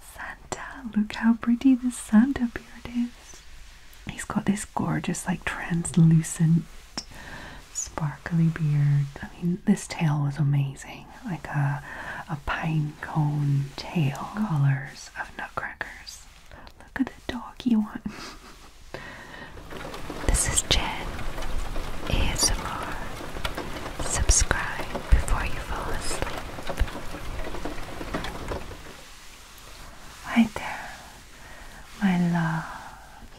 Santa! Look how pretty this Santa beard is. He's got this gorgeous, like translucent, sparkly beard. I mean, this tail was amazing. Like a a pine cone tail, colors of nutcrackers. Look at the doggy one. this is Jen. ASMR. Subscribe before you fall asleep. Hi there, my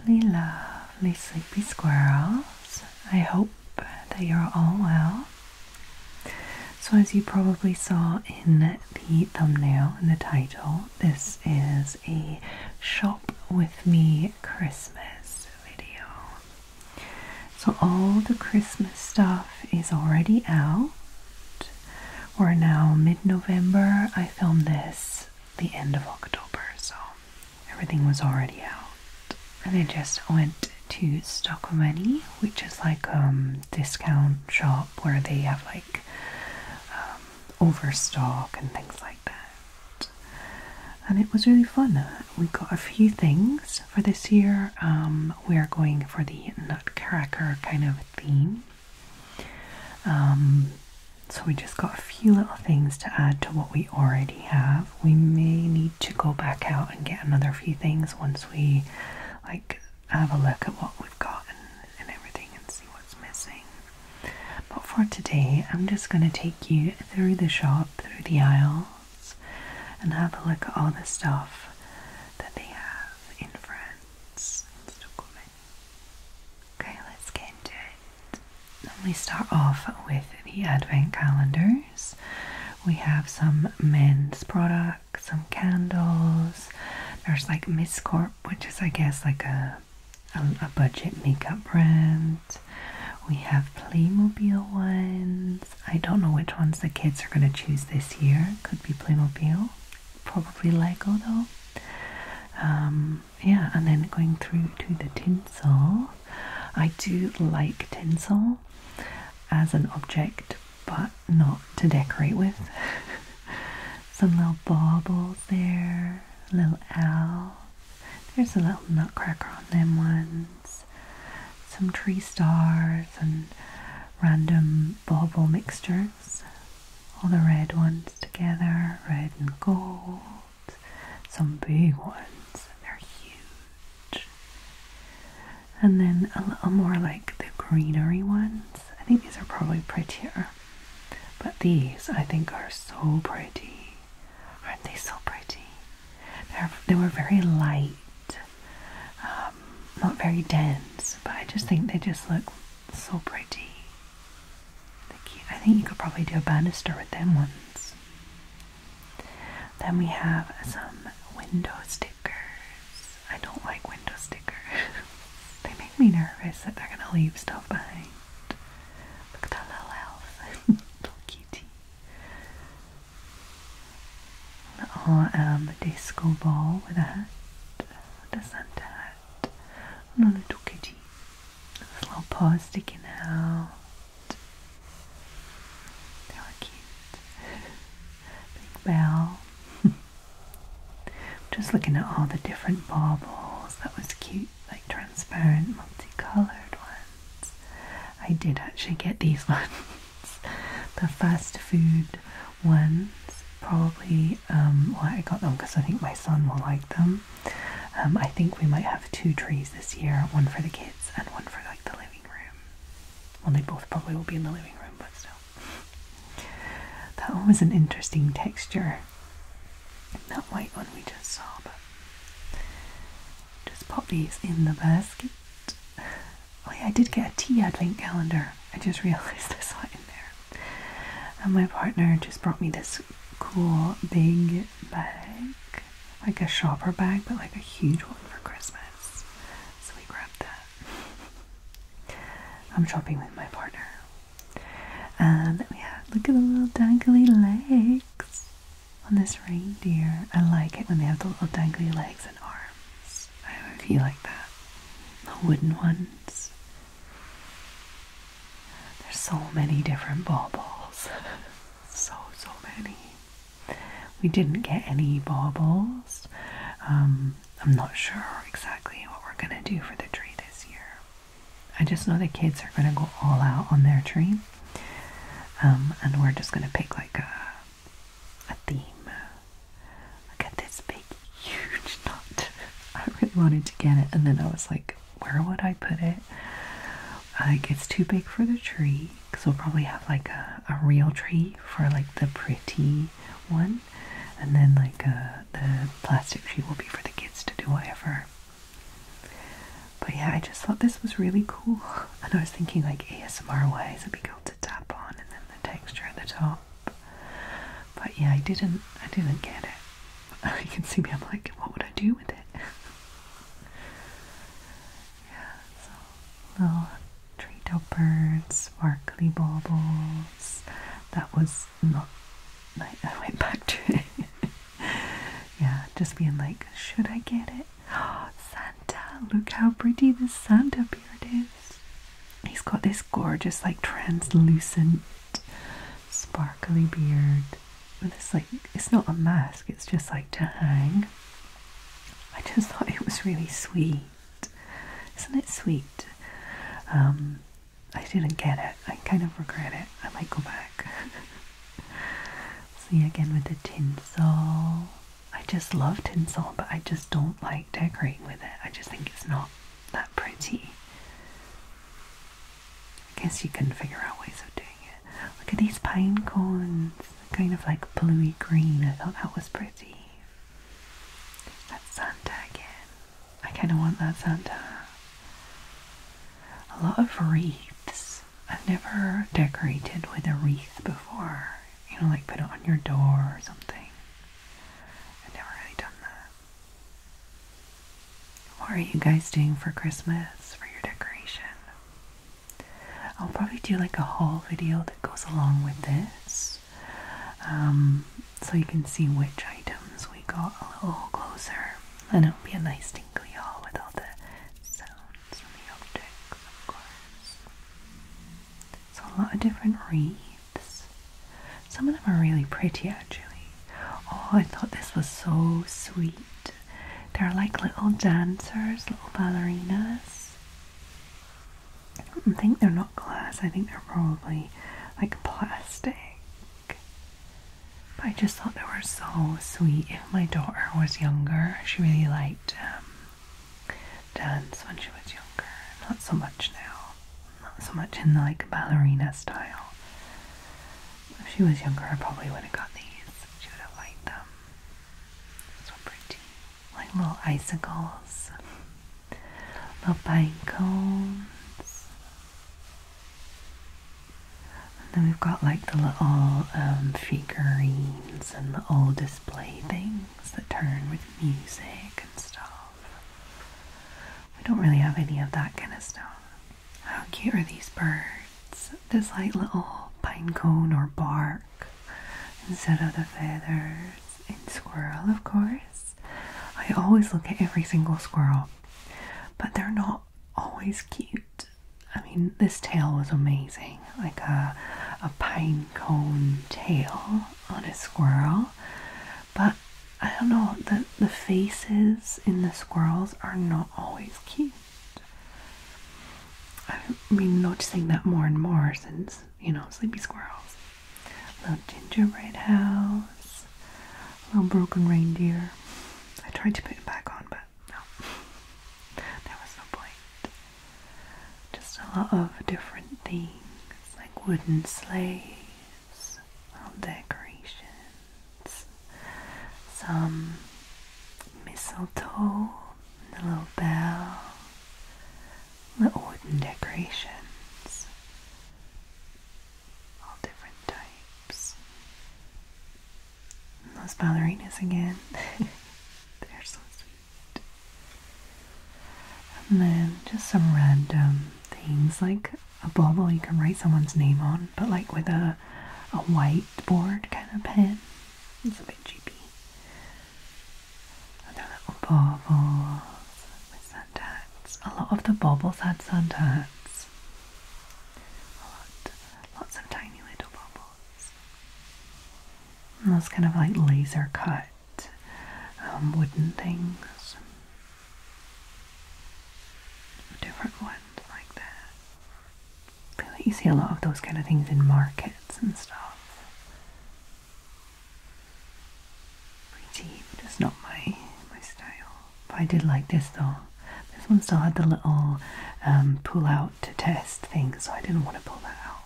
lovely, lovely sleepy squirrels. I hope that you're all well. So, as you probably saw in the thumbnail and the title, this is a shop with me Christmas video. So, all the Christmas stuff is already out. We're now mid November. I filmed this the end of October, so everything was already out. And I just went to Stockmanni, which is like a um, discount shop where they have like um, overstock and things like that and it was really fun. We got a few things for this year. Um, we are going for the nutcracker kind of theme. Um, so we just got a few little things to add to what we already have. We may need to go back out and get another few things once we like have a look at what we've got and everything and see what's missing. But for today, I'm just going to take you through the shop, through the aisle, and have a look at all the stuff that they have in France, Okay, let's get into it. let We start off with the advent calendars. We have some men's products, some candles. There's like Miss Corp, which is I guess like a, a budget makeup brand. We have Playmobil ones. I don't know which ones the kids are going to choose this year. Could be Playmobil, probably Lego though. Um, yeah, and then going through to the tinsel. I do like tinsel as an object, but not to decorate with. Some little baubles there, little owl. There's a little nutcracker on them ones some tree stars, and random bubble mixtures. All the red ones together, red and gold. Some big ones, they're huge. And then a little more like the greenery ones. I think these are probably prettier. But these I think are so pretty. Aren't they so pretty? they were very light, um, not very dense, but I just think they just look so pretty. I think you could probably do a banister with them ones. Then we have some window stickers. I don't like window stickers. they make me nervous that they're gonna leave stuff behind. Look at that little elf. little cutie or um, disco ball with a hat, a Santa hat, and a little kitty, little paw sticking out. They are cute. Big bell. Just looking at all the different baubles. That was cute like transparent multicolored ones. I did actually get these ones. the fast food ones, probably. Um, Why I got them because I think my son will like them. Um, I think we might have two trees this year one for the kids and one for like the living room. Well, they both probably will be in the living room, but still. That one was an interesting texture. That white one we just saw, just pop these in the basket. Oh yeah, I did get a tea advent calendar. I just realized I saw it in there. And my partner just brought me this cool big bag. Like a shopper bag, but like a huge one for Christmas. So we grabbed that. I'm shopping with my partner. And yeah, look at the little dangly legs on this reindeer. I like it when they have the little dangly legs and arms. I have like that. The wooden ones. There's so many different baubles. so, so many. We didn't get any baubles. Um, I'm not sure exactly what we're going to do for the tree this year. I just know the kids are going to go all out on their tree. Um, and we're just going to pick like a, a theme. Look at this big, huge knot. I really wanted to get it. And then I was like, where would I put it? Like, it's too big for the tree. Because we'll probably have like a, a real tree for like the pretty one. And then like uh, the plastic tree will be for the kids to do whatever but yeah, I just thought this was really cool. And I was thinking like ASMR wise it'd be cool to tap on and then the texture at the top. But yeah, I didn't I didn't get it. You can see me, I'm like, what would I do with it? yeah, so little tree toppers, sparkly baubles. That was not I went back to it. yeah, just being like, should I get it? Santa, look how pretty this Santa beard is. He's got this gorgeous, like translucent, sparkly beard. And it's like, it's not a mask, it's just like to hang. I just thought it was really sweet. Isn't it sweet? Um, I didn't get it. I kind of regret it. I might go back. See again with the tinsel. I just love tinsel, but I just don't like decorating with it. I just think it's not that pretty. I guess you can figure out ways of doing it. Look at these pine cones, They're kind of like bluey green. I thought that was pretty. That Santa again. I kind of want that Santa a lot of wreaths. I've never decorated with a wreath before, you know, like put it on your door or something. I've never really done that. What are you guys doing for Christmas for your decoration? I'll probably do like a haul video that goes along with this. Um, so you can see which items we got a little closer, and it'll be a nice distinctly all with all the sounds and the objects, of course. So a lot of different wreaths. Some of them are really pretty actually. Oh, I thought this was so sweet. They're like little dancers, little ballerinas. I don't think they're not glass, I think they're probably like plastic. I just thought they were so sweet. If my daughter was younger, she really liked um, dance when she was younger. Not so much now. Not so much in the like ballerina style. If she was younger, I probably would have got these. She would have liked them. So pretty. Like little icicles, little pine cones. And then we've got like the little um, figurines and the old display things that turn with music and stuff. We don't really have any of that kind of stuff. How cute are these birds? There's like little pine cone or bark instead of the feathers. And squirrel, of course. I always look at every single squirrel, but they're not always cute. I mean, this tail was amazing. Like a, a pine cone tail on a squirrel. But I don't know, the, the faces in the squirrels are not always cute. I've been noticing that more and more since, you know, Sleepy Squirrels. Little gingerbread house little broken reindeer. I tried to put it back on, but no, there was no point. Just a lot of different things like wooden sleighs, little decorations, some mistletoe, and a little bell, little wooden decorations all different types. those ballerinas again. They're so sweet. And then just some random things like a bubble you can write someone's name on, but like with a a whiteboard kind of pen. It's a bit cheapy. Other little baubles with sun hats. A lot of the bubbles had sun hats a lot, lots of tiny little bubbles. those kind of like laser cut um, wooden things, different ones like that. I you see a lot of those kind of things in markets and stuff. Pretty, but it's not my my style. But I did like this though. This one still had the little um, pull out to test things, so I didn't want to pull that out.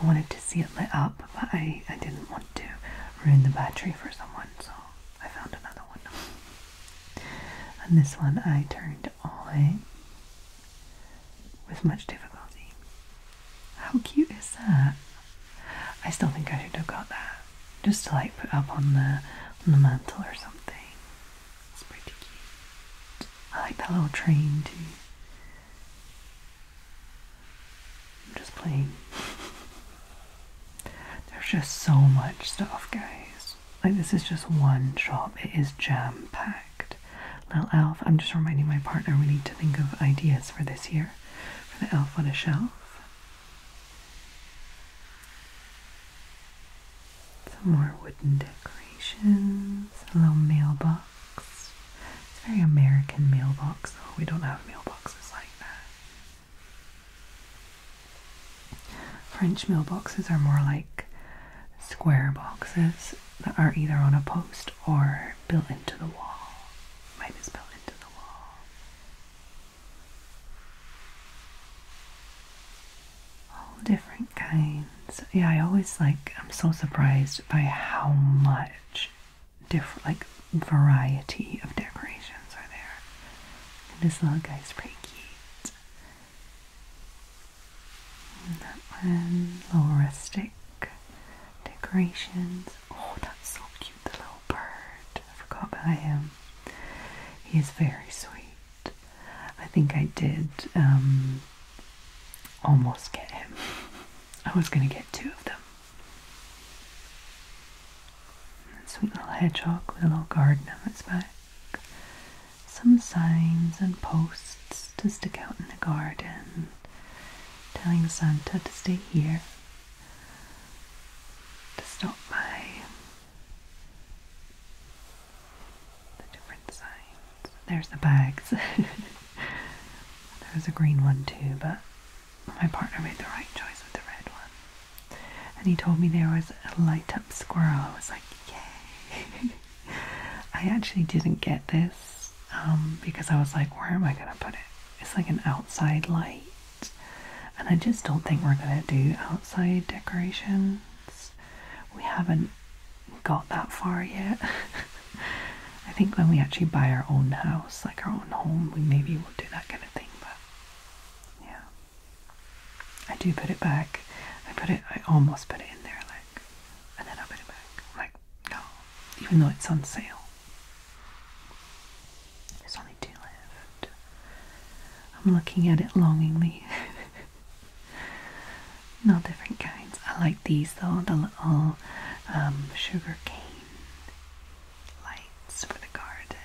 I wanted to see it lit up, but I, I didn't want to ruin the battery for someone, so I found another one. And this one I turned on with much difficulty. How cute is that? I still think I should have got that just to like put up on the on the mantle or something. It's pretty cute. I like that little train too. I'm just playing. There's just so much stuff, guys. Like this is just one shop. It is jam packed. Little elf. I'm just reminding my partner we need to think of ideas for this year for the elf on a shelf. Some more wooden decorations, a little mailbox. It's a very American mailbox though. We don't have mailboxes like that. French mailboxes are more like square boxes that are either on a post or built into the wall. Mine is built into the wall all different kinds. Yeah, I always like, I'm so surprised by how much different, like, variety of decorations are there. And this little guy's pretty cute. And that one, more rustic decorations. Oh, that's so cute, the little bird. I forgot about him. He is very sweet. I think I did um, almost get him. I was going to get two of them. Sweet little hedgehog with a little garden on its back. Some signs and posts to stick out in the garden, telling Santa to stay here to stop by the different signs. There's the bags. there was a green one too, but my partner made the right choice with the red one. And he told me there was a light up squirrel. I was like, yay! I actually didn't get this um, because I was like, where am I going to put it? It's like an outside light and I just don't think we're going to do outside decorations. We haven't got that far yet. I think when we actually buy our own house, like our own home, we maybe will do that kind of thing, but yeah. I do put it back. I put it, I almost put it in there, like, and then I put it back. Like, no, even though it's on sale. There's only two left. I'm looking at it longingly. No different kinds. I like these though, the little um, sugar cane lights for the garden.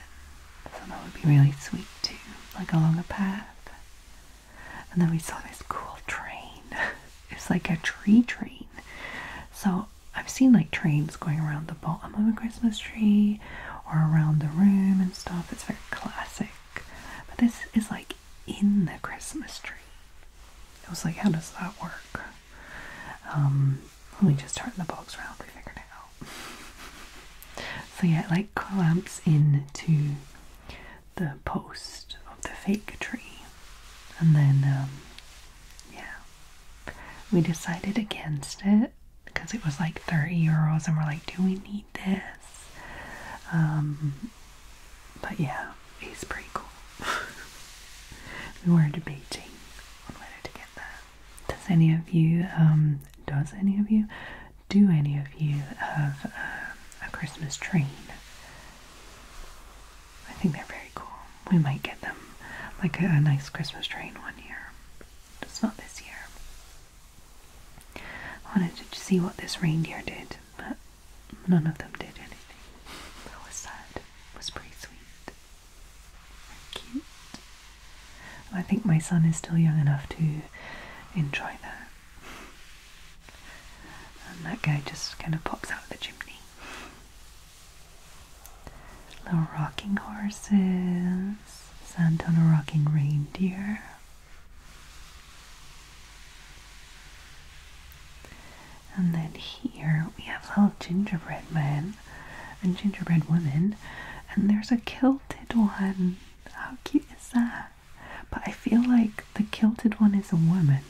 So that would be really sweet too, like along a path. And then we saw this cool train. it's like a tree train. So I've seen like trains going around the bottom um, of a Christmas tree or around the room and stuff. It's very classic. But this is like in the Christmas tree. It was like, how does that work? Let um, me just turn the box around, we figured it out. So yeah, it like clamps into the post of the fake tree. And then, um, yeah, we decided against it because it was like 30 euros and we're like do we need this um, but yeah it's pretty cool we were debating on whether to get that does any of you um, does any of you do any of you have uh, a christmas tree? I think they're very cool. We might get them like a, nice Christmas train one year. Just not this year. I wanted to see what this reindeer did, but none of them did anything. It was sad. It was pretty sweet. Very cute. I think my son is still young enough to enjoy that. And that guy just kind of pops out of the chimney. Little rocking horses, Santa a rocking reindeer. And then here we have little gingerbread men and gingerbread women, and there's a kilted one. How cute is that? But I feel like the kilted one is a woman.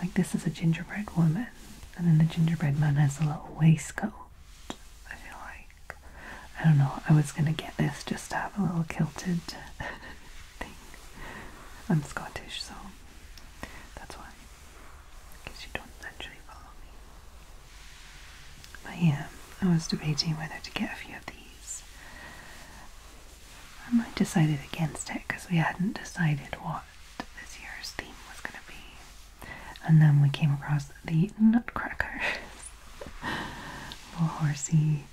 Like this is a gingerbread woman, and then the gingerbread man has a little waistcoat. I feel like I don't know. I was gonna get this just to have a little kilted thing. I'm Scottish, so that's why. Because you don't actually follow me. But yeah, I was debating whether to get a few of these. Um, I decided against it because we hadn't decided what this year's theme was going to be, and then we came across the Nutcrackers, the horsey,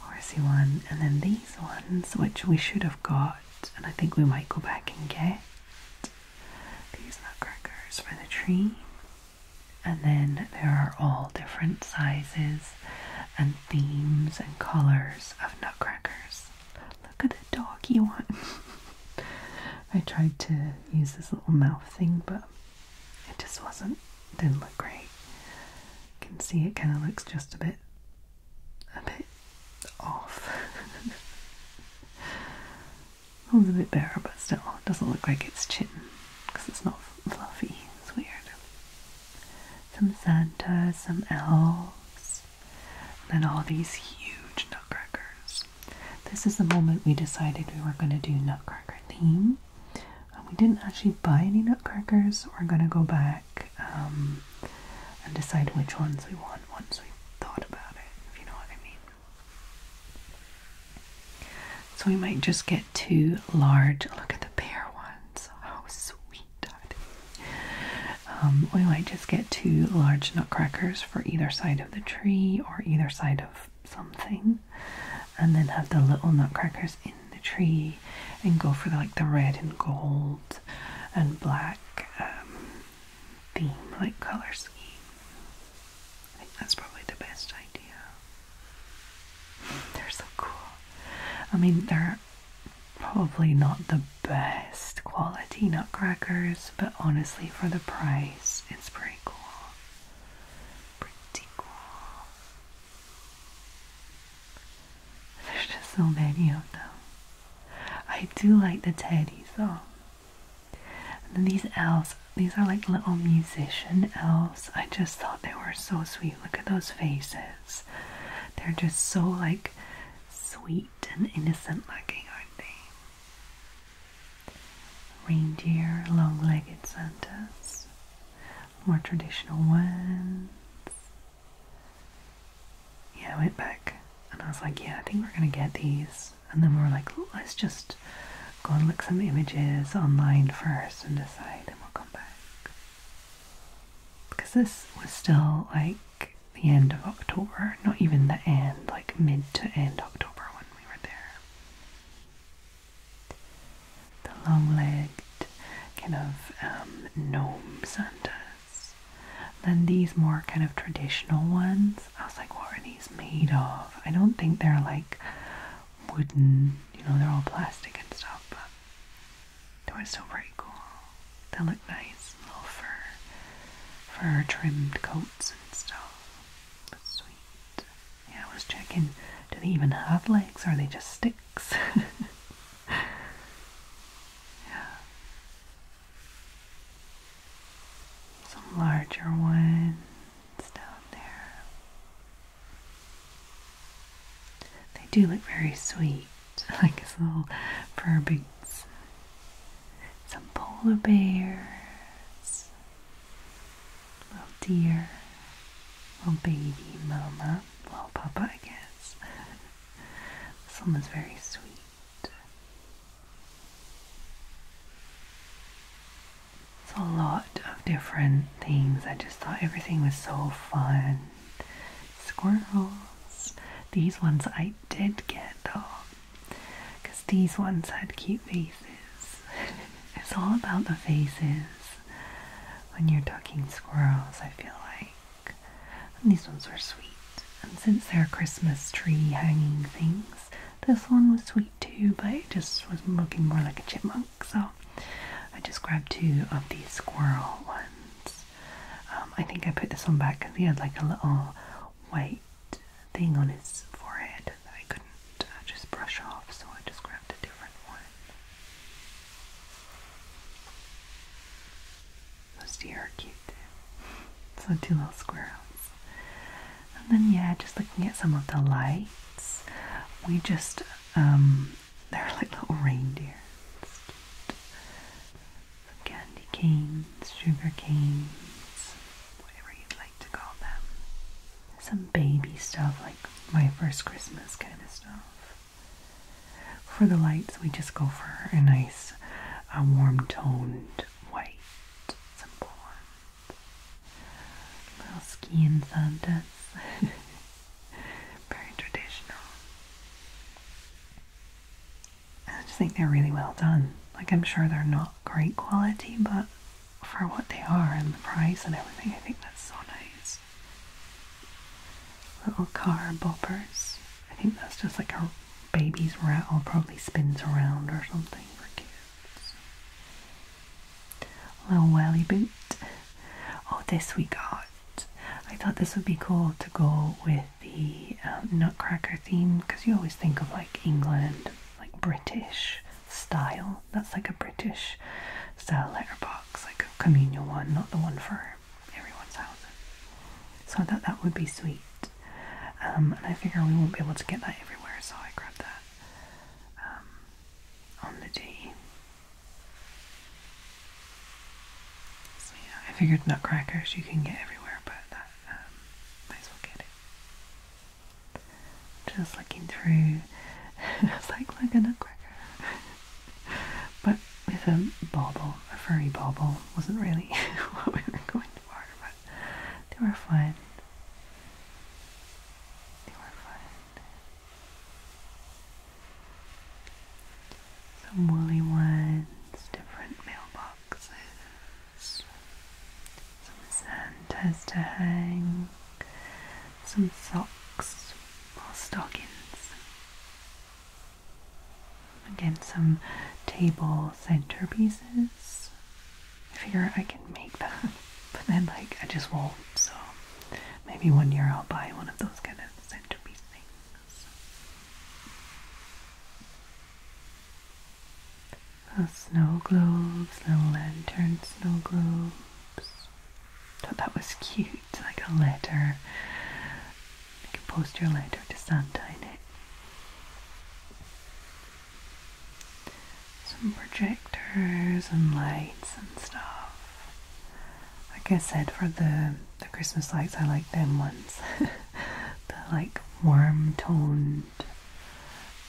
horsey one, and then these ones, which we should have got, and I think we might go back and get these Nutcrackers for the tree. And then there are all different sizes and themes and colors of nutcrackers. Look at the doggy one. I tried to use this little mouth thing, but it just wasn't, didn't look great. You can see it kind of looks just a bit, a bit off. it was a bit better, but still, it doesn't look like it's chin because it's not fluffy. It's weird. Some Santa, some elves. And then all these huge nutcrackers. This is the moment we decided we were going to do nutcracker theme. we didn't actually buy any nutcrackers. We're going to go back um, and decide which ones we want once we've thought about it, if you know what I mean. So we might just get two large, look at the pair ones. How sweet. Um, we might just get two large nutcrackers for either side of the tree or either side of something, and then have the little nutcrackers in the tree, and go for the, like the red and gold and black um, theme, like color scheme. I think that's probably the best idea. They're so cool. I mean, they're probably not the best quality nutcrackers, but honestly, for the price, it's pretty cool. Pretty cool. There's just so many of them. I do like the teddies though. these elves, these are like little musician elves. I just thought they were so sweet. Look at those faces. They're just so like sweet and innocent looking, aren't they? Reindeer, long-legged Santas, more traditional ones. Yeah, I went back and I was like, yeah, I think we're gonna get these. And then we were like, let's just go and look some images online first and decide, and we'll come back because this was still like the end of October, not even the end, like mid to end October when we were there. The long legged kind of um, gnome Santas. Then these more kind of traditional ones. I was like, what are these made of? I don't think they're like wooden, you know, they're all plastic and stuff, but they were so pretty cool. They look nice, little fur, fur trimmed coats and stuff. But sweet. Yeah, I was checking. Do they even have legs, or are they just sticks? yeah. Some larger ones down there. They do look very sweet, like his little fur boots. Some polar bears, little deer, little baby mama, little papa, I guess. this one very sweet. It's a lot of different things. I just thought everything was so fun squirrels. These ones I did get though, because these ones had cute faces. it's all about the faces when you're talking squirrels, I feel like. these ones were sweet. And since they're Christmas tree hanging things, this one was sweet too, but it just was looking more like a chipmunk, so I just grabbed two of these squirrel ones. Um, I think I put this one back because he had like a little white thing on his forehead that I couldn't uh, just brush off, so I just grabbed a different one. Those deer are cute too. So two little squirrels. And then yeah, just looking at some of the lights, we just um, they're like little reindeer. Some candy canes, sugar canes, whatever you'd like to call them. Some baby stuff like my first Christmas kind of stuff. For the lights, we just go for a nice, uh, warm toned white, simple one. Little ski and Santas. Very traditional. I just think they're really well done. Like, I'm sure they're not great quality, but for what they are and the price and everything, I think that's so nice. Little car boppers. I think that's just like a baby's rattle, probably spins around or something for kids little welly boot. Oh, this we got. I thought this would be cool to go with the um, Nutcracker theme because you always think of like England, like British style. That's like a British style letterbox, like a communal one, not the one for everyone's house. So I thought that would be sweet. Um, and I figure we won't be able to get that everywhere, so I grabbed that um, on the day. So yeah, I figured nutcrackers you can get everywhere, but that um, might as well get it. Just looking through, it's like like, look a nutcracker, but with a bauble, a furry bauble. Wasn't really what we were going for, but they were fun. They were fun some woolly ones, different mailboxes, some Santas to hang, some socks or stockings. Again, some table centerpieces. I figure I can make that but then like I just won't. So maybe one year I'll buy one of those kind of centerpiece things. The snow globes, the lantern snow globes. Thought that was cute, like a letter. You can post your letter to Santa in it some projectors and lights and stuff. Like I said, for the the Christmas lights, I like them ones. the like warm toned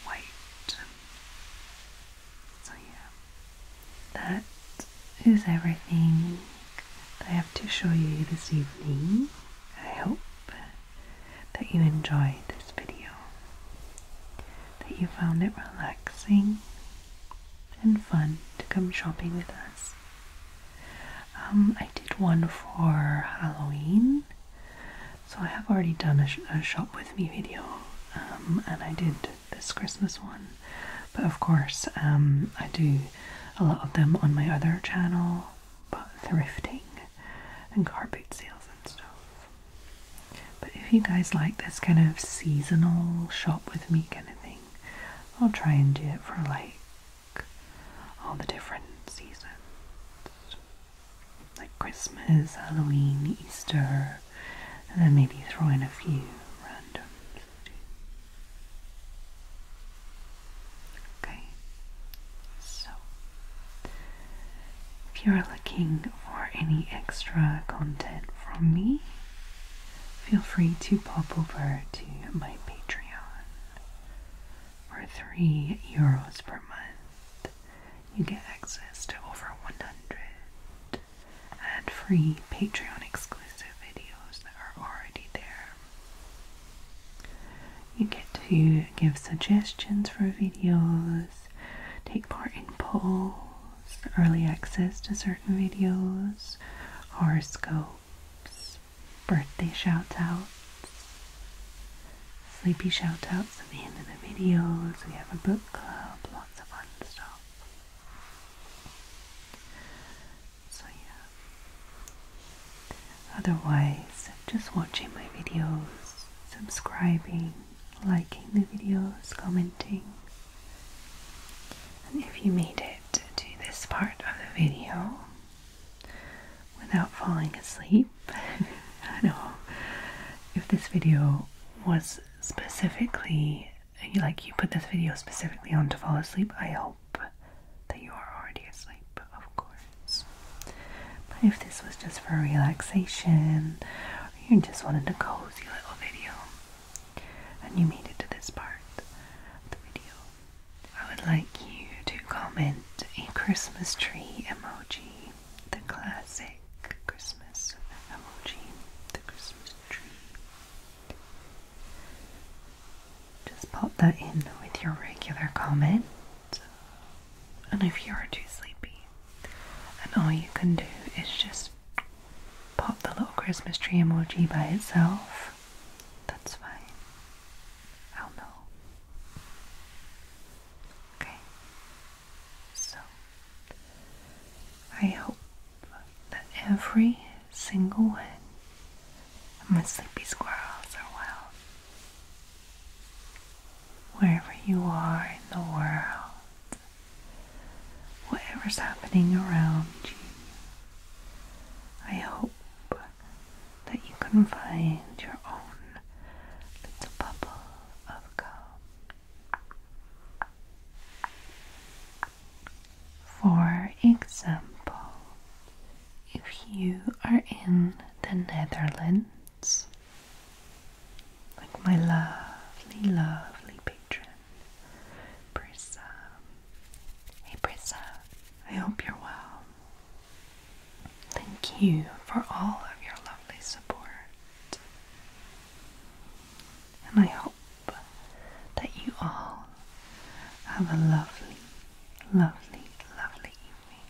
white. So yeah, that is everything that I have to show you this evening. I hope that you enjoyed this video, that you found it relaxing and fun to come shopping with us. Um, I did one for Halloween, so I have already done a, shop with me video, um, and I did this Christmas one. But of course, um, I do a lot of them on my other channel, but thrifting and car boot sales and stuff. But if you guys like this kind of seasonal shop with me kind of thing, I'll try and do it for like all the different seasons like Christmas, Halloween, Easter, and then maybe throw in a few randoms. Okay, so if you're looking for any extra content from me, feel free to pop over to my Patreon. For three euros per month, you get access to over 100 and free Patreon exclusive videos that are already there. You get to give suggestions for videos, take part in polls, early access to certain videos, horoscopes, birthday shout outs, sleepy shout outs at the end of the videos. We have a book club, lots of fun stuff. So, yeah. Otherwise, just watching my videos, subscribing, liking the videos, commenting. And if you made it to this part of the video without falling asleep, I know if this video was specifically like you put this video specifically on to fall asleep, I hope that you are already asleep, of course. But if this was just for relaxation you just wanted a cozy little video and you made it to this part of the video, I would like you to comment a Christmas tree emoji, the classic Christmas emoji, the Christmas tree. Just pop that in with your regular comment. And if you are too sleepy, and all you can do is just pop the little Christmas tree emoji by itself. That's fine. I'll know. Okay. So, I hope that every single one of my sleepy squirrels are well wherever you are in the world, whatever's happening around you. I hope that you can find your own little bubble of calm. For example, if you are in the Netherlands, like my lovely, lovely patron, Brisa. Hey, Brisa, I hope you're well. Thank you for all of your lovely support. And I hope that you all have a lovely, lovely, lovely evening